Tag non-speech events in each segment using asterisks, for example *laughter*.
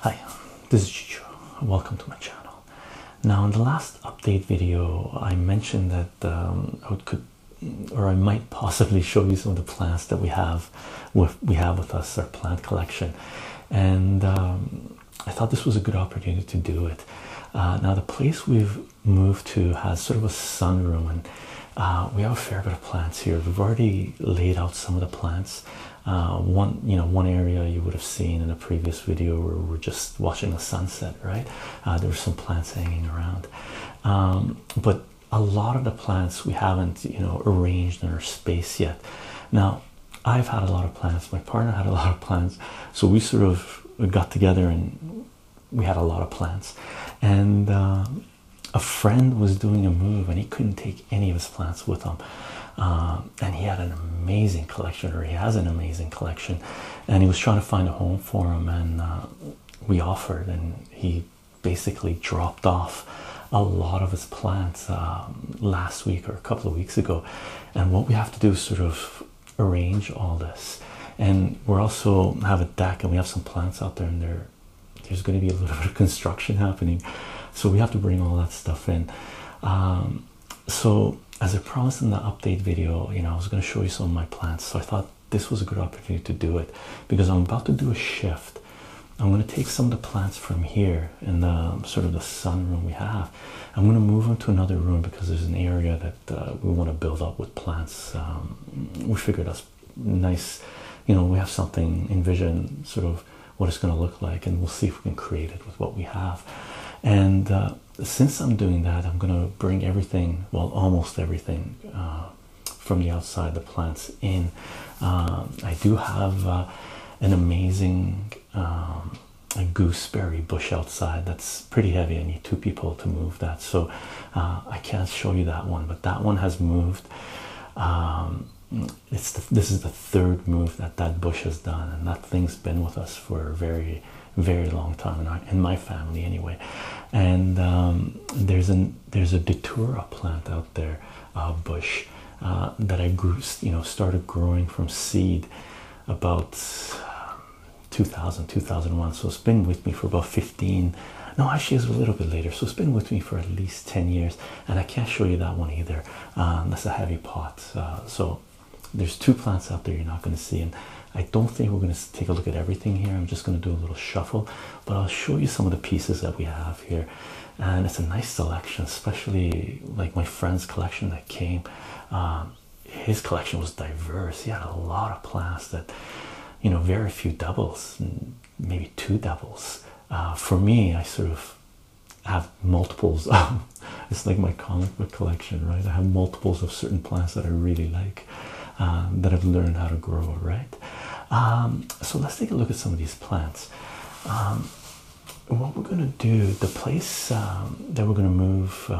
Hi, this is Chicho. Welcome to my channel. Now, in the last update video, I mentioned that um, I could, or I might possibly show you some of the plants that we have, with we have with us our plant collection, and um, I thought this was a good opportunity to do it. Uh, now, the place we've move to has sort of a sunroom, and we have a fair bit of plants here. We've already laid out some of the plants. Uh, one, you know, one area you would have seen in a previous video where we are just watching the sunset, right? Uh, there were some plants hanging around, um, but a lot of the plants we haven't, you know, arranged in our space yet. Now, I've had a lot of plants. My partner had a lot of plants, so we sort of got together and we had a lot of plants and um, a friend was doing a move and he couldn't take any of his plants with him um, and he had an amazing collection or he has an amazing collection and he was trying to find a home for him and uh, we offered and he basically dropped off a lot of his plants um, last week or a couple of weeks ago and what we have to do is sort of arrange all this and we're also have a deck and we have some plants out there and there there's going to be a little *laughs* bit of construction happening so we have to bring all that stuff in um, so as i promised in the update video you know i was going to show you some of my plants so i thought this was a good opportunity to do it because i'm about to do a shift i'm going to take some of the plants from here in the sort of the sun room we have i'm going to move them to another room because there's an area that uh, we want to build up with plants. Um, we figured that's nice, you know, we have something envision sort of what it's going to look like, and we'll see if we can create it with what we have. And uh, since I'm doing that, I'm going to bring everything well, almost everything uh, from the outside, the plants in. Um, I do have an amazing um, gooseberry bush outside that's pretty heavy. I need two people to move that, so uh, I can't show you that one. But that one has moved. Um, it's this is the third move that that bush has done, and that thing's been with us for a very, very long time in, my family anyway. And um, there's an there's a datura plant out there, uh, bush uh, that I grew, you know, started growing from seed about um, 2000 2001 so it's been with me for about 15 no actually it's a little bit later so it's been with me for at least 10 years and i can't show you that one either that's a heavy pot uh, so there's two plants out there you're not going to see and i don't think we're going to take a look at everything here i'm just going to do a little shuffle but i'll show you some of the pieces that we have here and it's a nice selection especially like my friend's collection that came um, his collection was diverse. He had a lot of plants that, you know, very few doubles, maybe two doubles. Uh, for me, I sort of have multiples. *laughs* it's like my comic book collection, right? I have multiples of certain plants that I really like, um, that I've learned how to grow, right? Um, so let's take a look at some of these plants. Um, what we're gonna do, the place that we're gonna move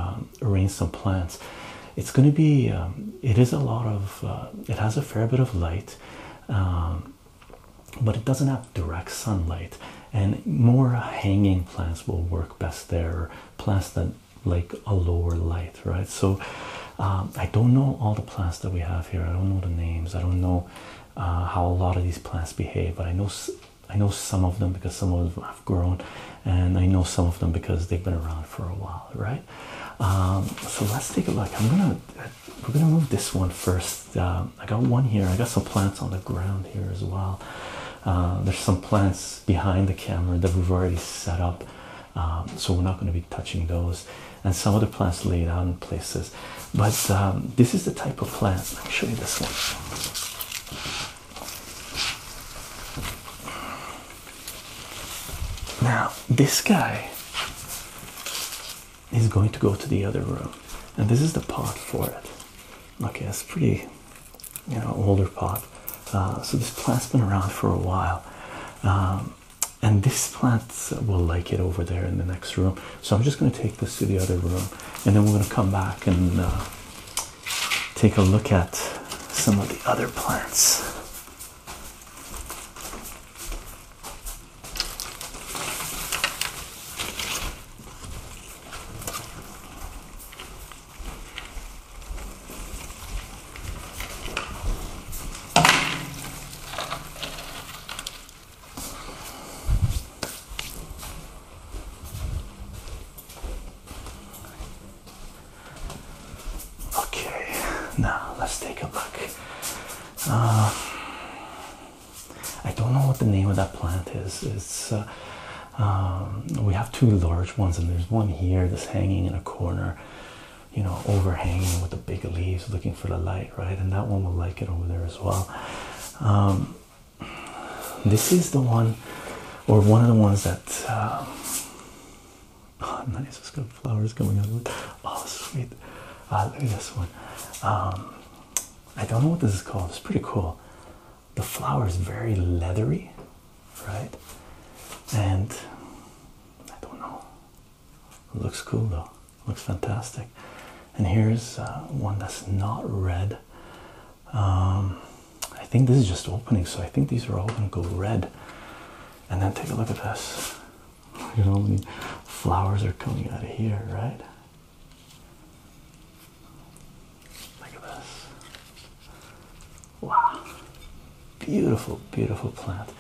arrange some plants it's going to be um, it is a lot of uh, it has a fair bit of light um, but it doesn't have direct sunlight and more hanging plants will work best there or plants that like a lower light right so um, i don't know all the plants that we have here i don't know the names i don't know uh, how a lot of these plants behave but i know i know some of them because some of them grown, and I know some of them because they've been around for a while, right? Um, so let's take a look. I'm gonna we're gonna move this one first. Um, I got one here. I got some plants on the ground here as well. Uh, there's some plants behind the camera that we've already set up, um, so we're not going to be touching those. And some of the plants laid out in places. But this is the type of plants. Let me show you this one. Now, this guy is going to go to the other room, and this is the pot for it. Okay, it's pretty, you know, older pot. Uh, so this plant's been around for a while, um, and this plant will like it over there in the next room. So I'm just going to take this to the other room, and then we're going to come back and uh, take a look at some of the other plants. Okay, now let's take a look. Uh, I don't know what the name of that plant is. It's uh, um, we have two large ones, and there's one here that's hanging in a corner, you know, overhanging with the big leaves, looking for the light, right? And that one will like it over there as well. Um, this is the one, or one of the ones that. Uh, Oh, nice. It's got flowers coming out of it. Oh, sweet. Uh, look at this one. Um, I don't know what this is called. It's pretty cool. The flower is very leathery, right? And I don't know. looks cool though. looks fantastic. And here's uh, one that's not red. Um, I think this is just opening, so I think these are all going to go red. And then take a look at this. Look *laughs* at how many flowers are coming out of here, right? Look at this. Wow. Beautiful, beautiful plant.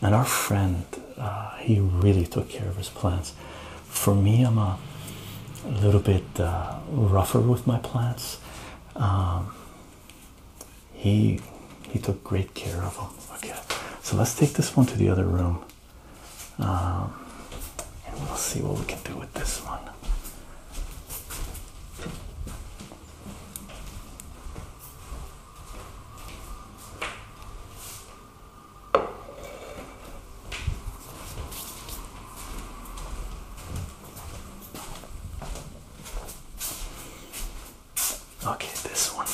And our friend, uh, he really took care of his plants. For me, I'm a little bit uh, rougher with my plants. Um, he he took great care of them. Okay, so let's take this one to the other room, um, and we'll see what we can do with this one. Okay, this one.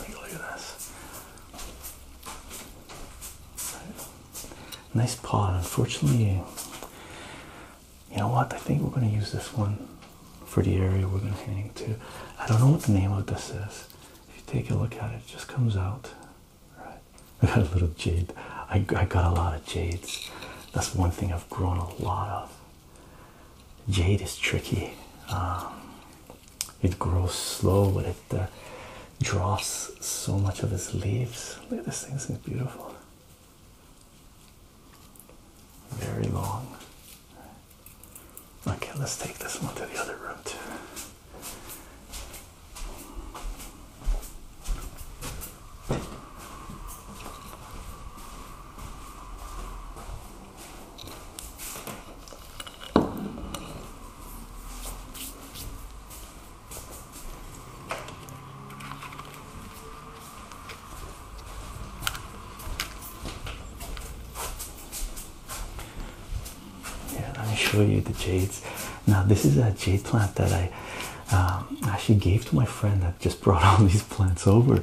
Look at this. Nice pot. Unfortunately, you know what? I think we're going to use this one for the area we're going to hang to. I don't know what the name of this is. If you take a look at it, it just comes out. Right. *laughs* I got a little jade. I, I got a lot of jades. That's one thing I've grown a lot of. Jade is tricky. Um, it grows slow, but it uh, drops so much of its leaves. Look at this thing. This thing's beautiful. Very long. Okay, let's take this one to the other room too yeah let me show you the jades now this is a jade plant that i um, actually gave to my friend that just *laughs* brought all these plants over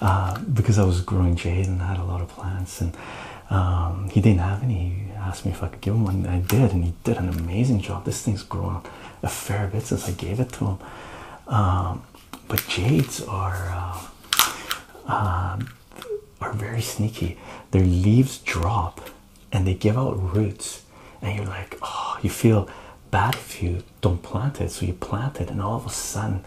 uh, because i was growing jade and I had a lot of plants and um, he didn't have any he asked me if i could give him one and i did and he did an amazing job this thing's grown a fair bit since i gave it to him um, but jades are uh, are very sneaky. Their leaves drop and they give out roots, and you're like, oh, you feel bad if you don't plant it. So you plant it, and all of a sudden,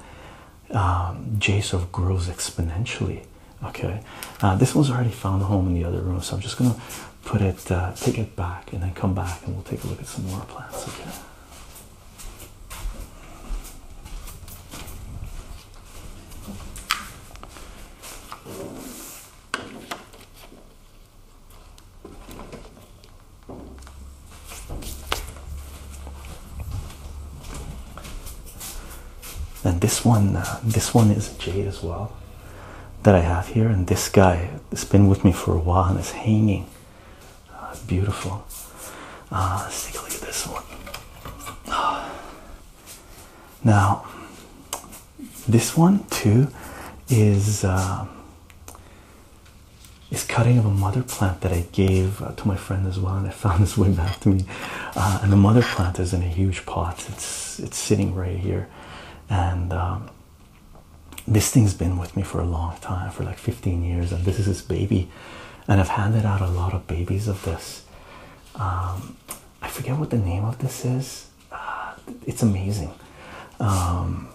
um, J of grows exponentially. Okay, uh, this one's already found a home in the other room, so I'm just gonna put it, uh, take it back, and then come back, and we'll take a look at some more plants. Okay. And this one, uh, this one is jade as well that I have here. And this guy has been with me for a while and is hanging. Uh, beautiful. Uh, let's take a look at this one. Now, this one too is uh, is cutting of a mother plant that I gave uh, to my friend as well, and I found this way back to me. Uh, and the mother plant is in a huge pot. It's it's sitting right here, and this thing's been with me for a long time, for like 15 years, and this is its baby. And I've handed out a lot of babies of this. Um, I forget what the name of this is. Uh, it's amazing. Um,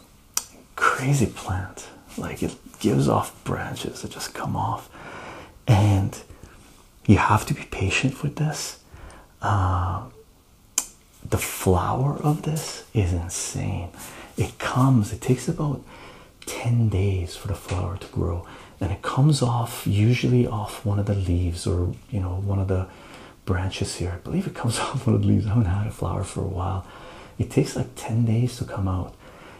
crazy plant. Like it gives off branches that just come off. And you have to be patient with this. Uh, the flower of this is insane. It comes, it takes about 10 days for the flower to grow and it comes off usually off one of the leaves or you know one of the branches here i believe it comes *laughs* off one of the leaves i haven't had a flower for a while it takes like 10 days to come out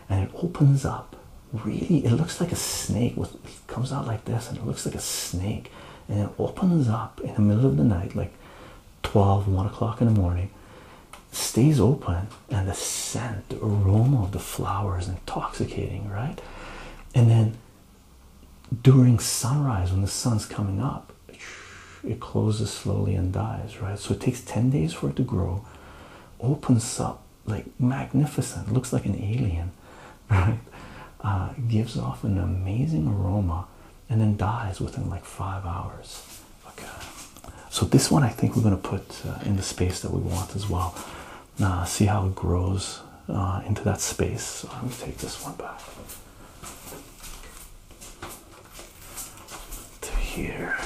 and it opens up really it looks like a snake with it comes out like this and it looks like a snake and it opens up in the middle of the night like 12 1 o'clock in the morning stays open and the scent the aroma of the flowers intoxicating, right? And then during sunrise, when the sun's coming up, it closes slowly and dies, right? So it takes 10 days for it to grow, opens up like magnificent, looks like an alien, right? Uh, gives off an amazing aroma and then dies within like five hours. Okay, so this one I think we're going to put uh, in the space that we want as well uh, see how it grows uh, into that space. Let me take this one back to here.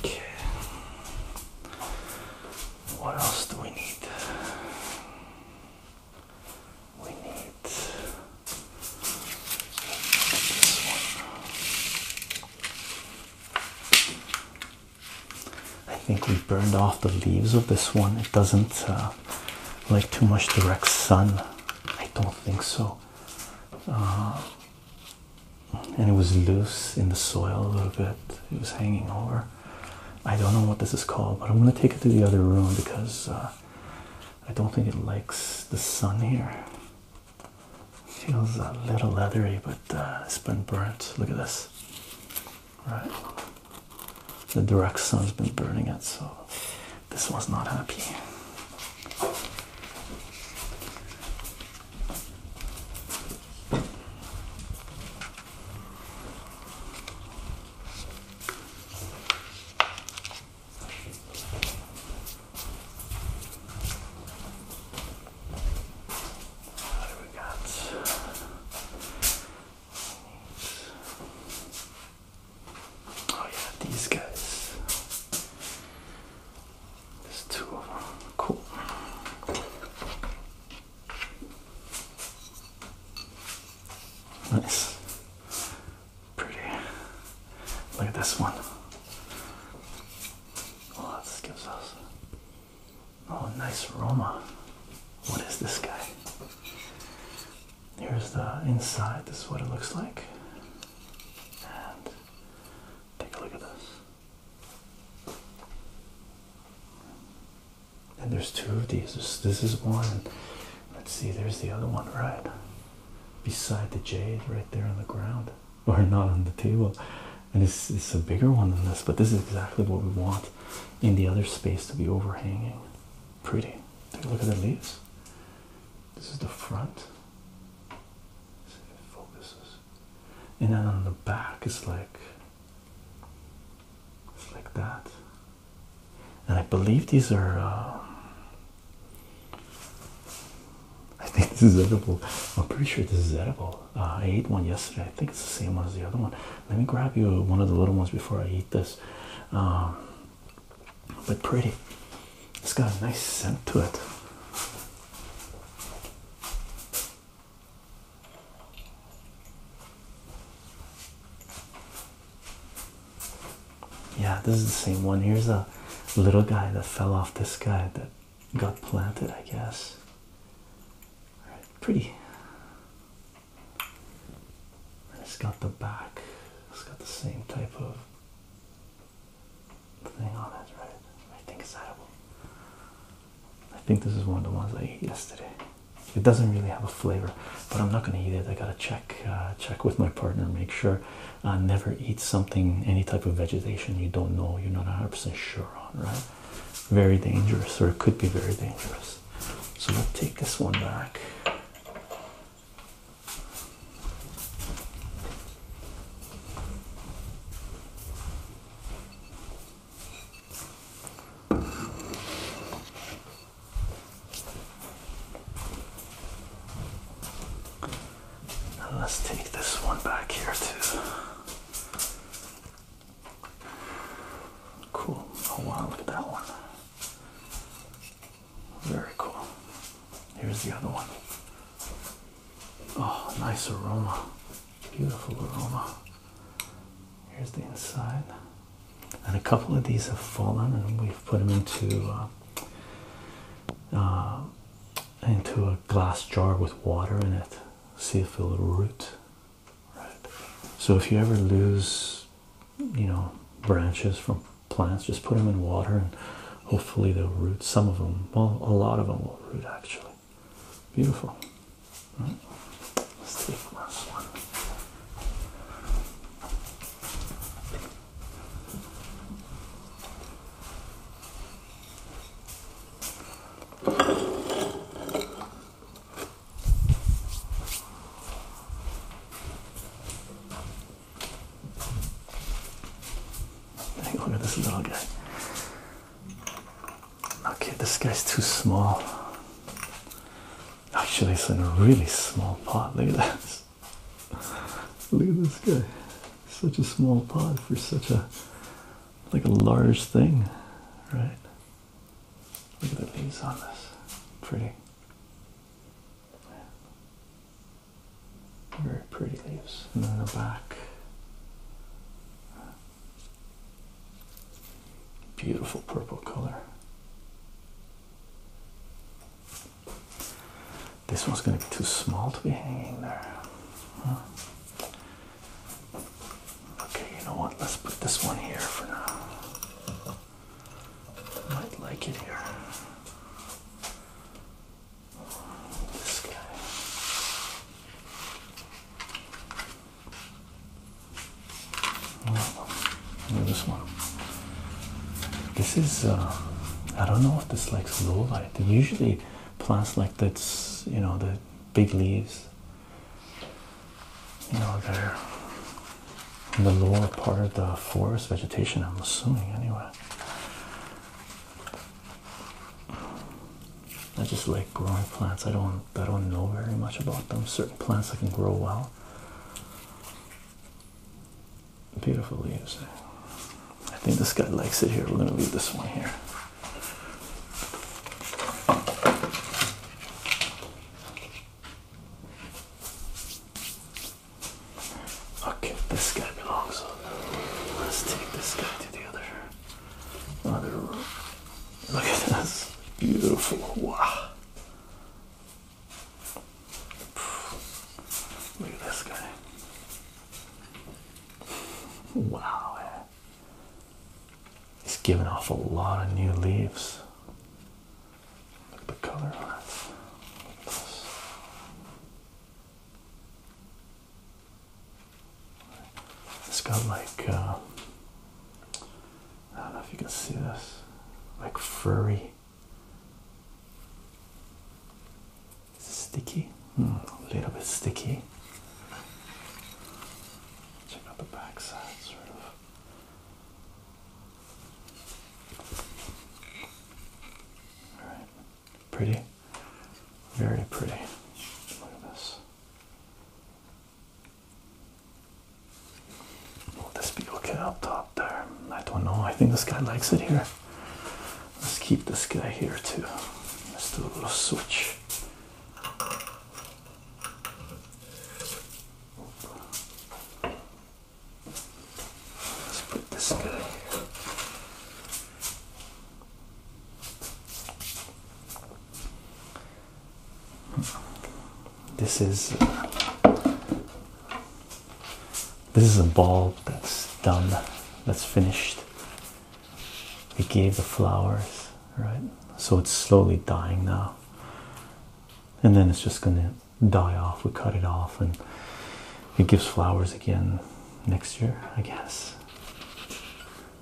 Okay. What else do we need? We need this one. I think we burned off the leaves of this one. It doesn't uh, like too much direct sun. I don't think so. Uh, and it was loose in the soil a little bit. It was hanging over. I don't know what this is called, but I'm gonna take it to the other room because uh, I don't think it likes the sun here. feels a little leathery, but uh, it's been burnt. Look at this. Right. The direct sun's been burning it, so this was not happy. What do we got? Oh yeah, these guys. There's two of them. Cool. Nice. Pretty. Look at this one. Oh, this gives us. Oh, nice Roma. What is this guy? Here's the inside. This is what it looks like. And take a look at this. And there's two of these. This, is one. Let's see, there's the other one, right? Beside the jade, right there on the ground, *laughs* or not on the table. And it's, it's a bigger one than this, but this is exactly what we want in the other space to be overhanging. Pretty. Take a look at the leaves. This is the front. see if it focuses. And then on the back it's like it's like that. And I believe these are um, I think this is edible. I'm pretty sure this is edible. Uh, I ate one yesterday. I think it's the same one as the other one. Let me grab you one of the little ones before I eat this. Um, but pretty. It's got a nice scent to it. Yeah, this is the same one. Here's a little guy that fell off this guy that got planted, I guess. pretty it's got the back, it's got the same type of thing on it, right? I think it's edible. I think this is one of the ones I ate yesterday. It doesn't really have a flavor, but I'm not gonna eat it. I gotta check uh, check with my partner, make sure. I uh, never eat something, any type of vegetation you don't know, you're not 100% sure on, right? Very dangerous, or it could be very dangerous. So let's take this one back. Now let's take this one back here too. Cool. Oh wow, look at that one. Very cool. Here's the other one. Oh, nice aroma. Beautiful aroma. Here's the inside. And a couple of these have fallen, and we've put them into uh, uh, into a glass jar with water in it. See if it'll root. Right. So if you ever lose you know branches from plants just put them in water and hopefully they'll root some of them well a lot of them will root actually beautiful let's take one look at this little guy. Okay, this guy's too small. Actually, it's in a really small pot. Look at this. Look at this guy. Such a small pot for such a like a large thing, right? Look at the leaves on this. Pretty. Very pretty leaves. And then the back. Beautiful purple color. This one's going to be too small to be hanging there. Okay, you know what? Let's put this one here for now. Might like it here. This guy. Oh, this one. This is uh, I don't know if this likes low light. Usually plants like that's you know the big leaves. You know they're in the lower part of the forest vegetation, I'm assuming, anyway. I just like growing plants. I don't I don't know very much about them. Certain plants that can grow well. Beautiful leaves. I think this guy likes it here. We're gonna leave this one here. Okay, this guy belongs Let's take this guy to the other, other room. Look at this. Beautiful. Wow. Look at this guy. Wow. Eh. He's giving off a lot of new leaves the color on it. This. It's got like, uh, I don't know if you can see this, like furry. sticky? Hmm, a little bit sticky. Check out the backside, sort of. All right. Pretty. Very pretty. Look at this. Will this be okay up top there? I don't know. I think this guy likes it here. Let's keep this guy here too. Let's do a little switch. Let's put this guy here. This is this is a bulb that's done, that's finished. It gave the flowers, right? So it's slowly dying now, and then it's just gonna die off. We cut it off, and it gives flowers again next year, I guess.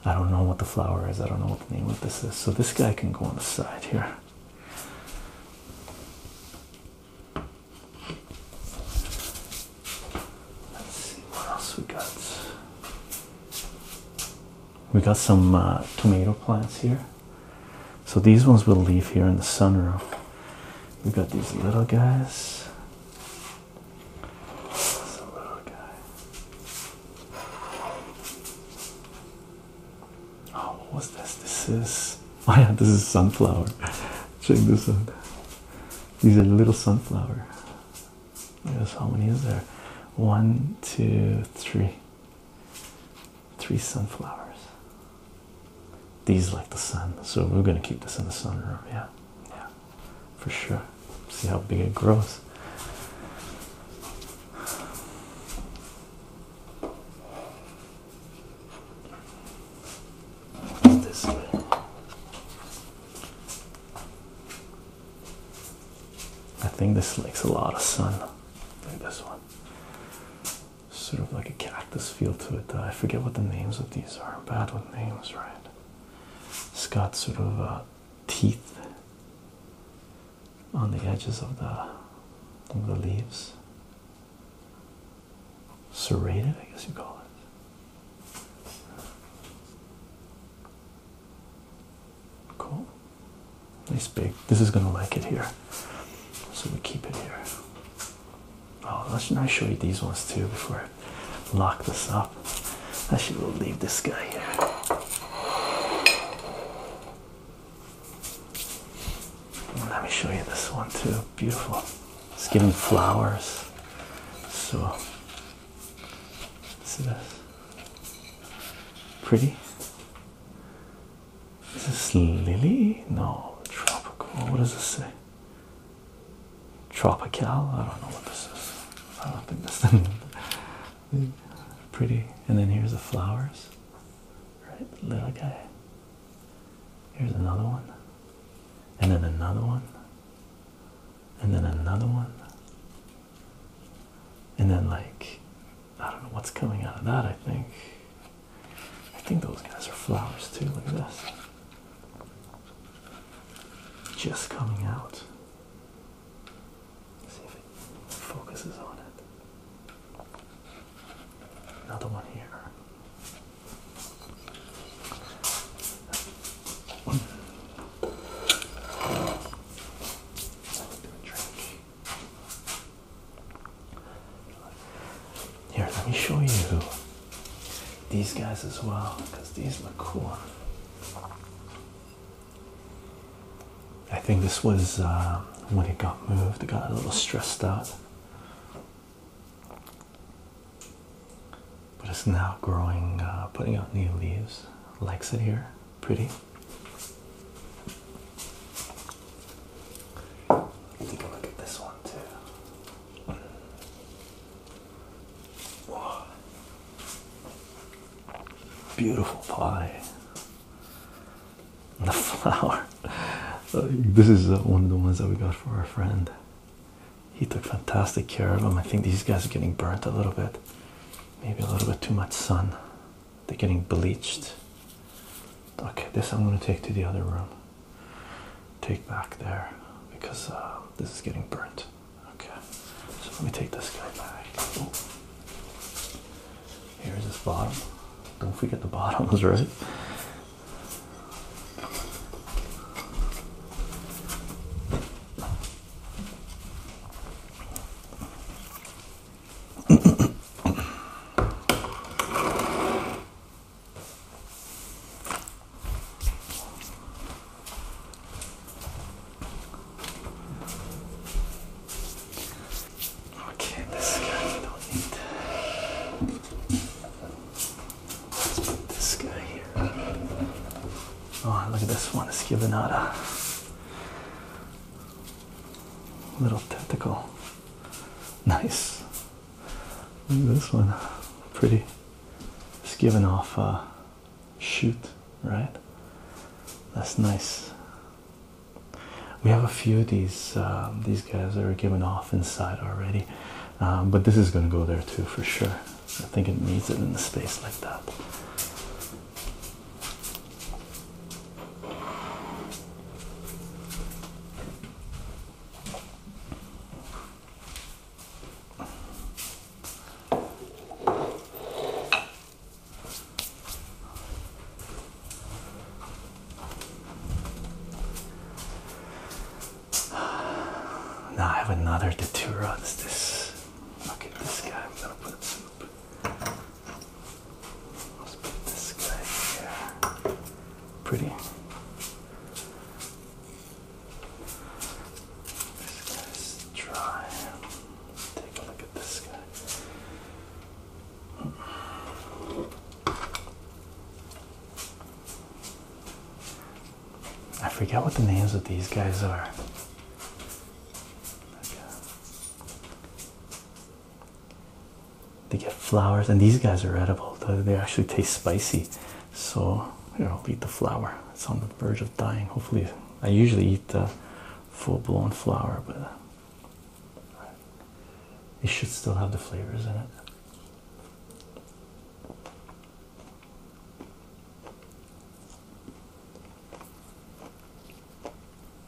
I don't know what the flower is. I don't know what the name of this is. So this guy can go on the side here. Let's see what else we got. We got some uh, tomato plants here. So these ones will leave here in the sunroom. We've got these little guys. Oh, what was this? This is *laughs* oh yeah, this is sunflower. Check this out. These are little sunflower. Guess how many is there? One, two, three. Three sunflowers. These like the sun, so we're gonna keep this in the sunroom, yeah. Yeah, for sure. See how big it grows. This I think this likes a lot of sun. Like this one sort of like a cactus feel to it. I forget what the names of these are. bad with names, right? It's got sort of uh, teeth on the edges of the the leaves. Serrated, I guess you call it. Cool. Nice big. This is gonna like it here. So we keep it here. Oh, let's not show you these ones too before I lock this up. Actually, we'll leave this guy here. Let me show you this one too. Beautiful. It's giving flowers. So, see this? Pretty. Is this lily? No, tropical. What does this say? Tropical? I don't know what this is. I don't think *laughs* Pretty. And then here's the flowers. Right, little guy. Here's another one. And then another one. And then another one. And then like I don't know what's coming out of that, I think. I think those guys are flowers too. Look at this. Just coming out. see if it focuses on it. Another one here. Here, let me show you these guys as well because these look cool. I think this was uh, when it got moved, it got a little stressed out. But it's now growing, uh, putting out new leaves. Likes it here, pretty. You take a look at this one too. Whoa. Beautiful pie. The *laughs* flower. this is uh, one of the ones that we got for our friend. He took fantastic care of them. I think these guys are getting burnt a little bit. Maybe a little bit too much sun. They're getting bleached. Okay, this I'm going to take to the other room take back there because uh, this is getting burnt. Okay, so let me take this guy back. Here's his bottom. Don't forget the bottoms, right? Okay, this guy we don't need. Let's put this guy here. Oh, look at this one, it's giving out a little tentacle. Nice this one. Pretty. It's giving off a uh, shoot, right? That's nice. We have a few of these um, these guys that are giving off inside already, um, but this is going to go there too for sure. I think it needs it in a space like that. Now I have another detour. It's this. Look at this guy. I'm gonna put Let's put this guy here pretty. This guy's dry. Take a look at this guy. I forget what the names of these guys are. They get flowers, and these guys are edible. They actually taste spicy. So I'll eat the flower. It's on the verge of dying. Hopefully, I usually eat the full-blown flower, but it should still have the flavors in it.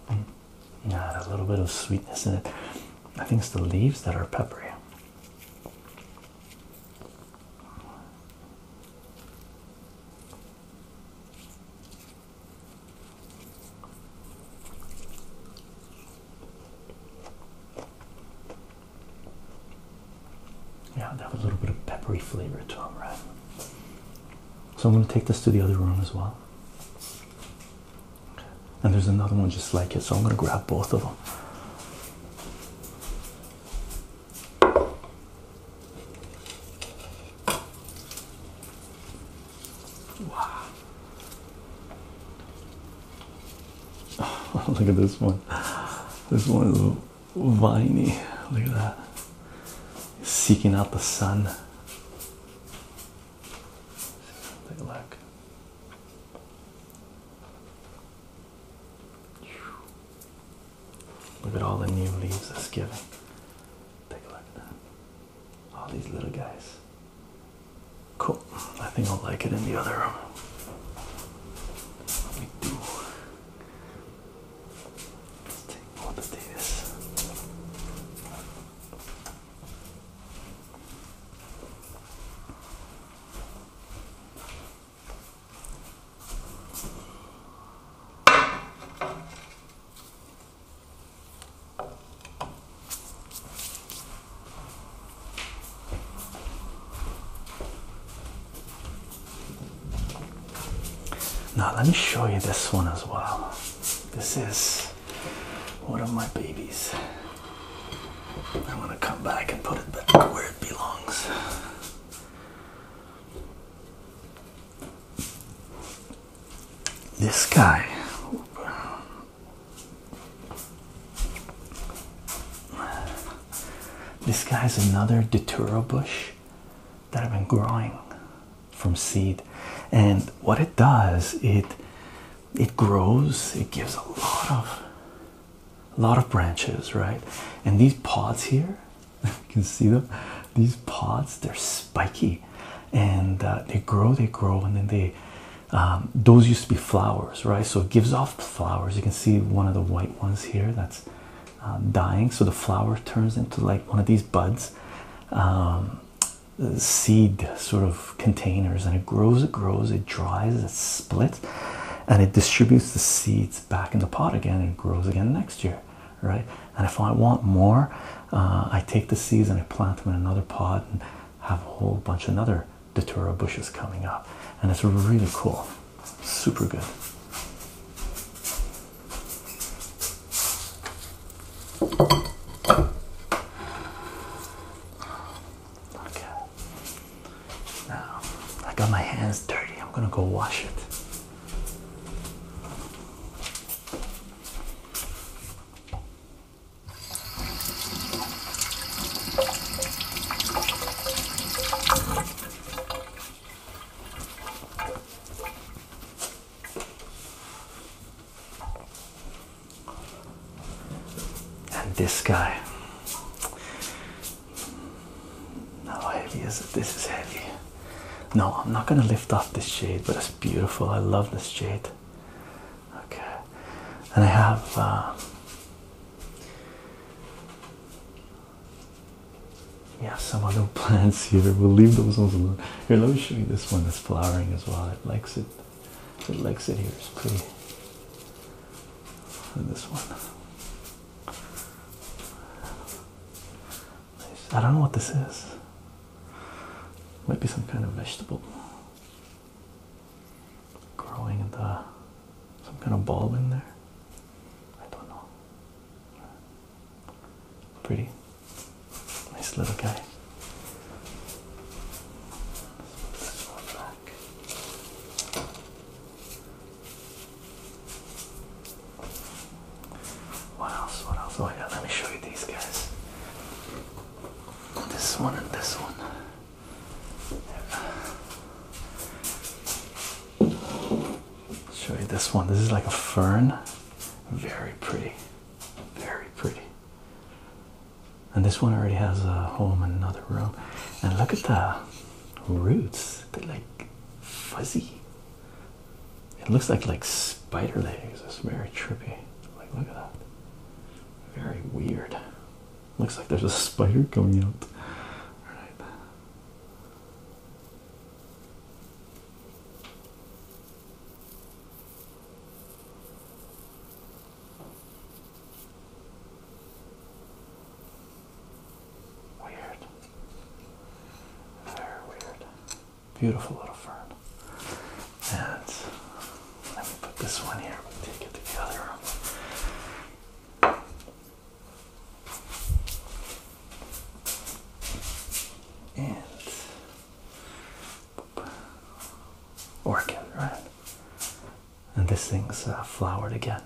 Hmm. Yeah, a little bit of sweetness in it. I think it's the leaves that are peppery. Yeah, they have a little bit of peppery flavor to them, right? So I'm going to take this to the other room as well. And there's another one just like it, so I'm going to grab both of them. Wow. *laughs* look at this one. This one is viney. Look at that. Seeking out the sun. Take a look. Look at all the new leaves that's given. Take a look at that. All these little guys. Cool. I think I'll like it in the other room. Let me do. Let's take all the data. Now, let me show you this one as well. This is one of my babies. I'm gonna come back and put it back where it belongs. This guy. This guy's another Datura bush that I've been growing from seed. And what it does, it it grows it gives a lot of a lot of branches right and these pods here *laughs* you can see them these pods they're spiky and uh, they grow they grow and then they um, those used to be flowers right so it gives off flowers you can see one of the white ones here that's um, dying so the flower turns into like one of these buds um, seed sort of containers and it grows, it grows, it dries, it splits, and it distributes the seeds back in the pot again and it grows again next year, right? And if I want more, uh, I take the seeds and I plant them in another pot and have a whole bunch of another datura bushes coming up, and it's really cool, super good. Okay. Now, I got my hands dirty. I'm gonna go wash it. And this guy. How heavy is it? This is heavy. No, I'm not gonna lift off this shade, but it's beautiful. I love this shade. Okay, and I have uh, yeah some other *laughs* plants here. We'll leave those ones alone. Here, let me show you this one that's flowering as well. It likes it. The Lexit here is pretty. this one. Nice. I don't know what this is. Might be some kind of vegetable. Growing in the some kind of bulb in there. I don't know. Pretty nice little guy. Let's what else? What else? Oh yeah, let me show you these guys. This one and this one. Show you this one. This is like a fern. Very pretty. Very pretty and this one already has a home in another room. And look at the roots, they're like fuzzy. It looks like like spider legs. It's very trippy. Like look at that. Very weird. Looks like there's a spider coming out. Alright. Weird. Very weird. Beautiful little fern. And let me put this one here. we take it to the other room. And orchid, right? and this thing's uh, flowered again.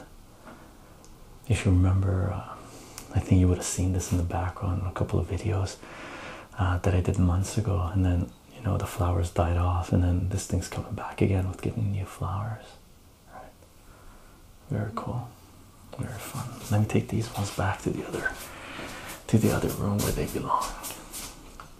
If you remember, uh, I think you would have seen this in the background in a couple of videos uh, that I did months ago, and then you know the flowers died off, and then this thing's coming back again with giving new flowers. All right. Very cool, very fun. Let me take these ones back to the other, to the other room where they belong.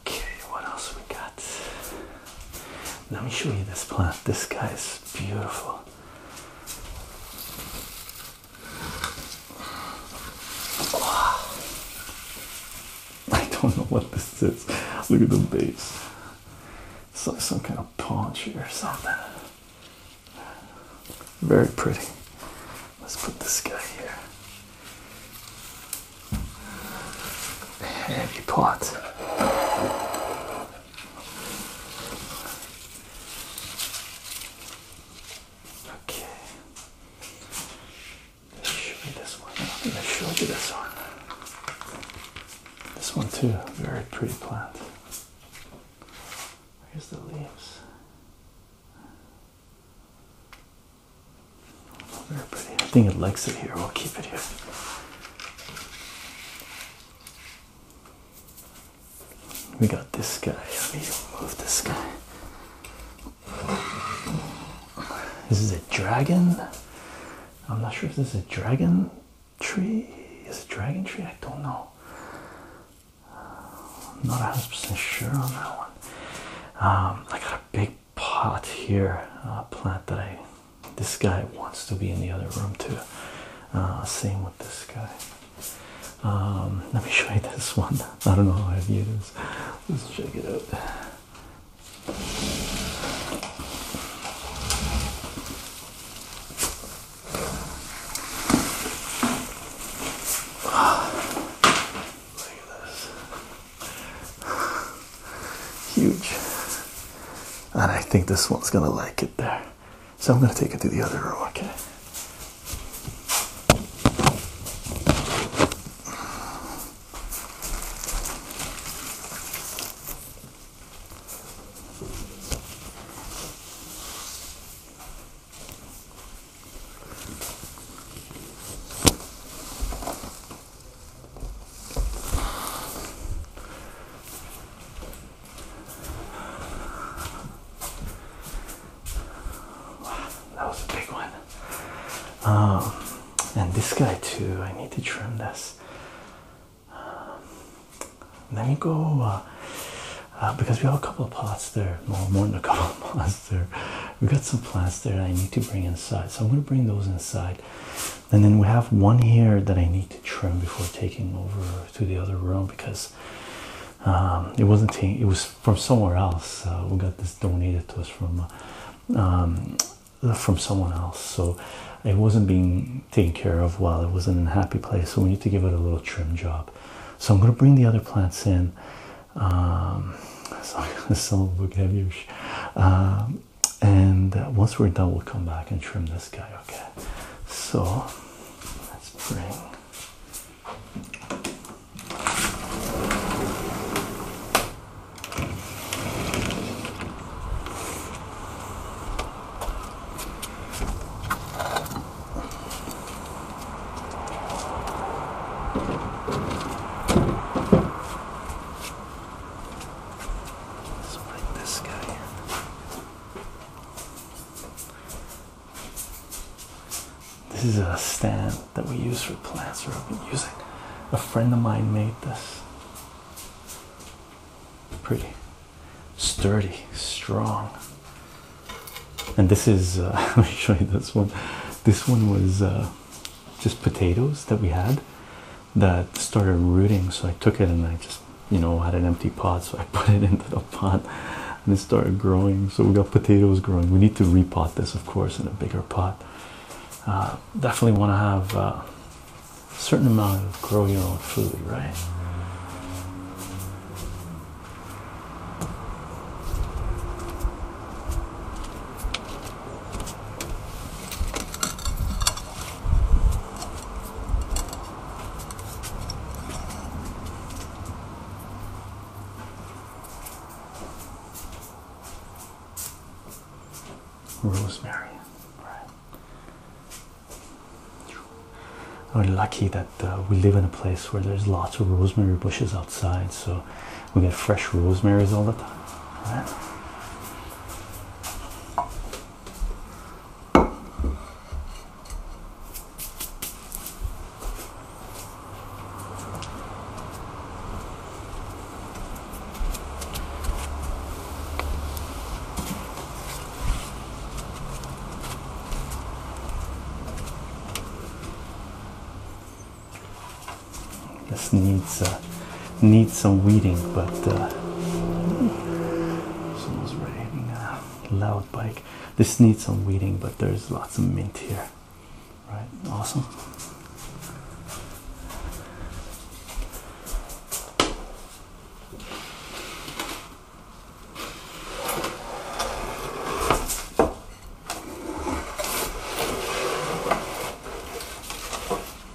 Okay, what else we got? Let me show you this plant. This guy is beautiful. I don't know what this is. Look at the base. It's like some kind of palm tree or something. Very pretty. Let's put this guy here. Heavy pot. Okay. Let's show you this one. I'm gonna show you this one. This one too. Very pretty plant. Here's the leaves. Very pretty. I think it likes it here. We'll keep it here. We got this guy. Let me move this guy. This is a dragon. I'm not sure if this is a dragon tree. Is a dragon tree? I don't know. I'm not 100% sure on that one. Um, I got a big pot here uh, plant that I this guy wants to be in the other room too uh, same with this guy um, let me show you this one *laughs* I don't know how I view this let's check it out *sighs* Look at this. Huge. And I think this one's gonna like it there. So I'm gonna take it to the other room. okay? Wow, that was a big one. Um, and this guy too. I need to trim this. Um, let me go uh, uh, because we have a couple of pots there. more than a couple of *laughs* pots there. We got some plants there. I need to bring inside, so I'm gonna bring those inside. And then we have one here that I need to trim before taking over to the other room because um, it wasn't it was from somewhere else. we got this donated to us from um, from someone else, so it wasn't being taken care of well. It wasn't in a happy place, so we need to give it a little trim job. So I'm going to bring the other plants in. Um, so it's a little bit heavyish. Um, and uh, once we're done, we'll come back and trim this guy. Okay, so let's bring. Let's bring this guy in. This is a stand that we use for plants, or I've been using. A friend of mine made this. Pretty sturdy, strong. And this is, uh, *laughs* let me show you this one. This one was uh, just potatoes that we had that started rooting. So I took it and I just, you know, had an empty pot. So I *laughs* put it into the pot and it started growing. So we got potatoes growing. We need to repot this, of course, in a bigger pot. Uh, definitely want to have uh, a certain amount of grow your own food, right? rosemary. Right. Are lucky that uh, we live in a place where there's lots of rosemary bushes outside, so we get fresh rosemaries all the time. This needs uh, some weeding, but uh, someone's riding loud bike. This needs some weeding, but there's lots of mint here. Right, awesome.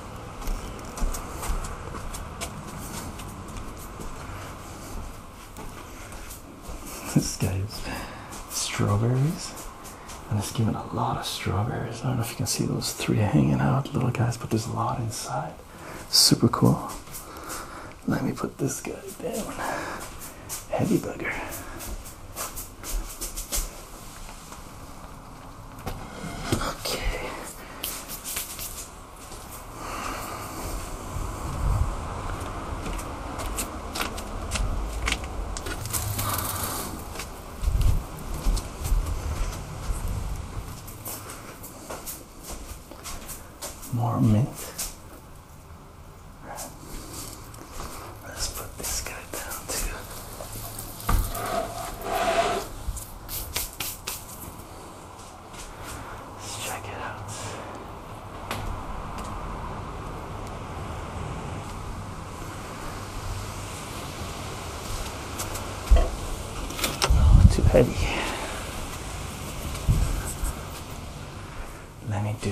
*laughs* This guy is strawberries, and it's given a lot of strawberries. I don't know if you can see those three hanging out, little guys, but there's a lot inside. Super cool. Let me put this guy down. Heavy bugger. Okay. More mint. Let's put this guy Let's check it out. too heavy. Let me do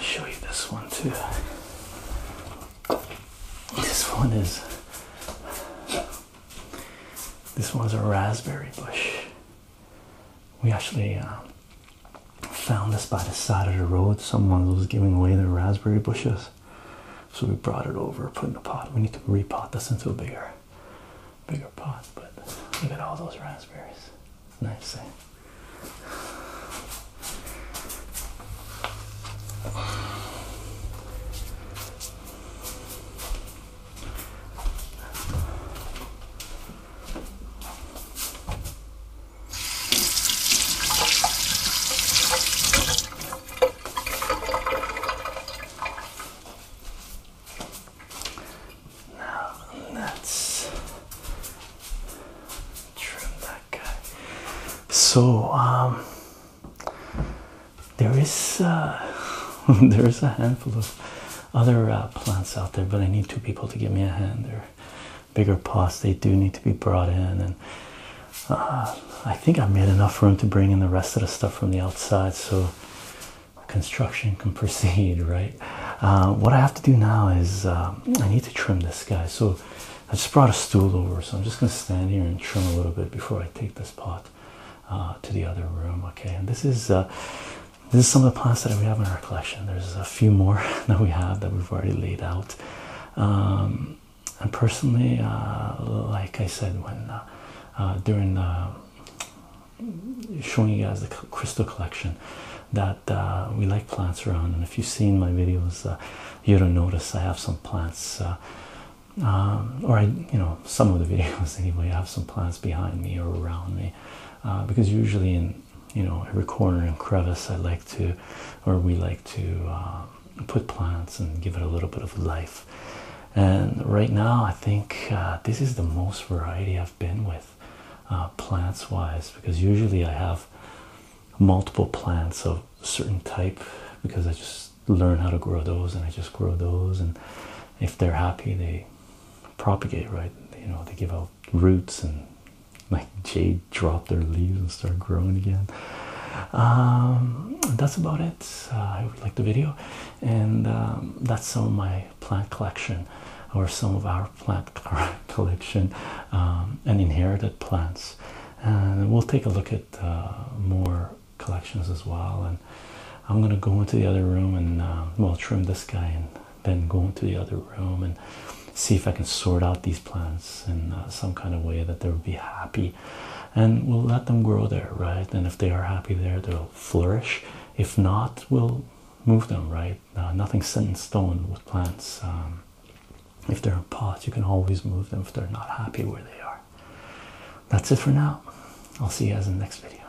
show you this one too. This one is. This one's a raspberry bush. We actually uh, found this by the side of the road. Someone was giving away their raspberry bushes, so we brought it over, put in a pot. We need to repot this into a bigger, bigger pot. But look at all those raspberries. Nice thing. Eh? Now let's trim that back. So um, there is uh, *laughs* there is a handful of other uh, plants out there, but I need two people to give me a hand. They're bigger pots. They do need to be brought in, and uh, I think I made enough room to bring in the rest of the stuff from the outside. So construction can *laughs* proceed right what i have to do now is um, i need to trim this guy so I just brought a stool over, so I'm just going to stand here and trim a little bit before I take this pot uh, to the other room. Okay, and this is uh, this is some of the plants that we have in our collection. There's a few more *laughs* that we have that we've already laid out. Um, and personally, uh, like I said, when during showing you guys the crystal collection, that we like plants around, and if you've seen my videos you don't notice I have some plants, uh, um, or I, you know, some of the *laughs* videos anyway. I have some plants behind me or around me, uh, because usually in you know every corner and crevice I like to, or we like to uh, put plants and give it a little bit of life. And right now I think this is the most variety I've been with plants wise, because usually I have multiple plants of a certain type because I just learn how to grow those and I just grow those and if they're happy they propagate right you know they give out roots and like jade drop their leaves and start growing again um, that's about it uh, I hope you liked the video and um, that's some of my plant collection or some of our plant *laughs* collection um, and inherited plants and we'll take a look at uh, more collections as well and i'm going to go into the other room and uh, well trim this guy and then go into the other room and see if i can sort out these plants in uh, some kind of way that they'll be happy and we'll let them grow there right and if they are happy there they'll flourish if not we'll move them right uh, nothing's set in stone with plants um, if they're in pots, you can always move them if they're not happy where they are. That's it for now. I'll see you guys in the next video.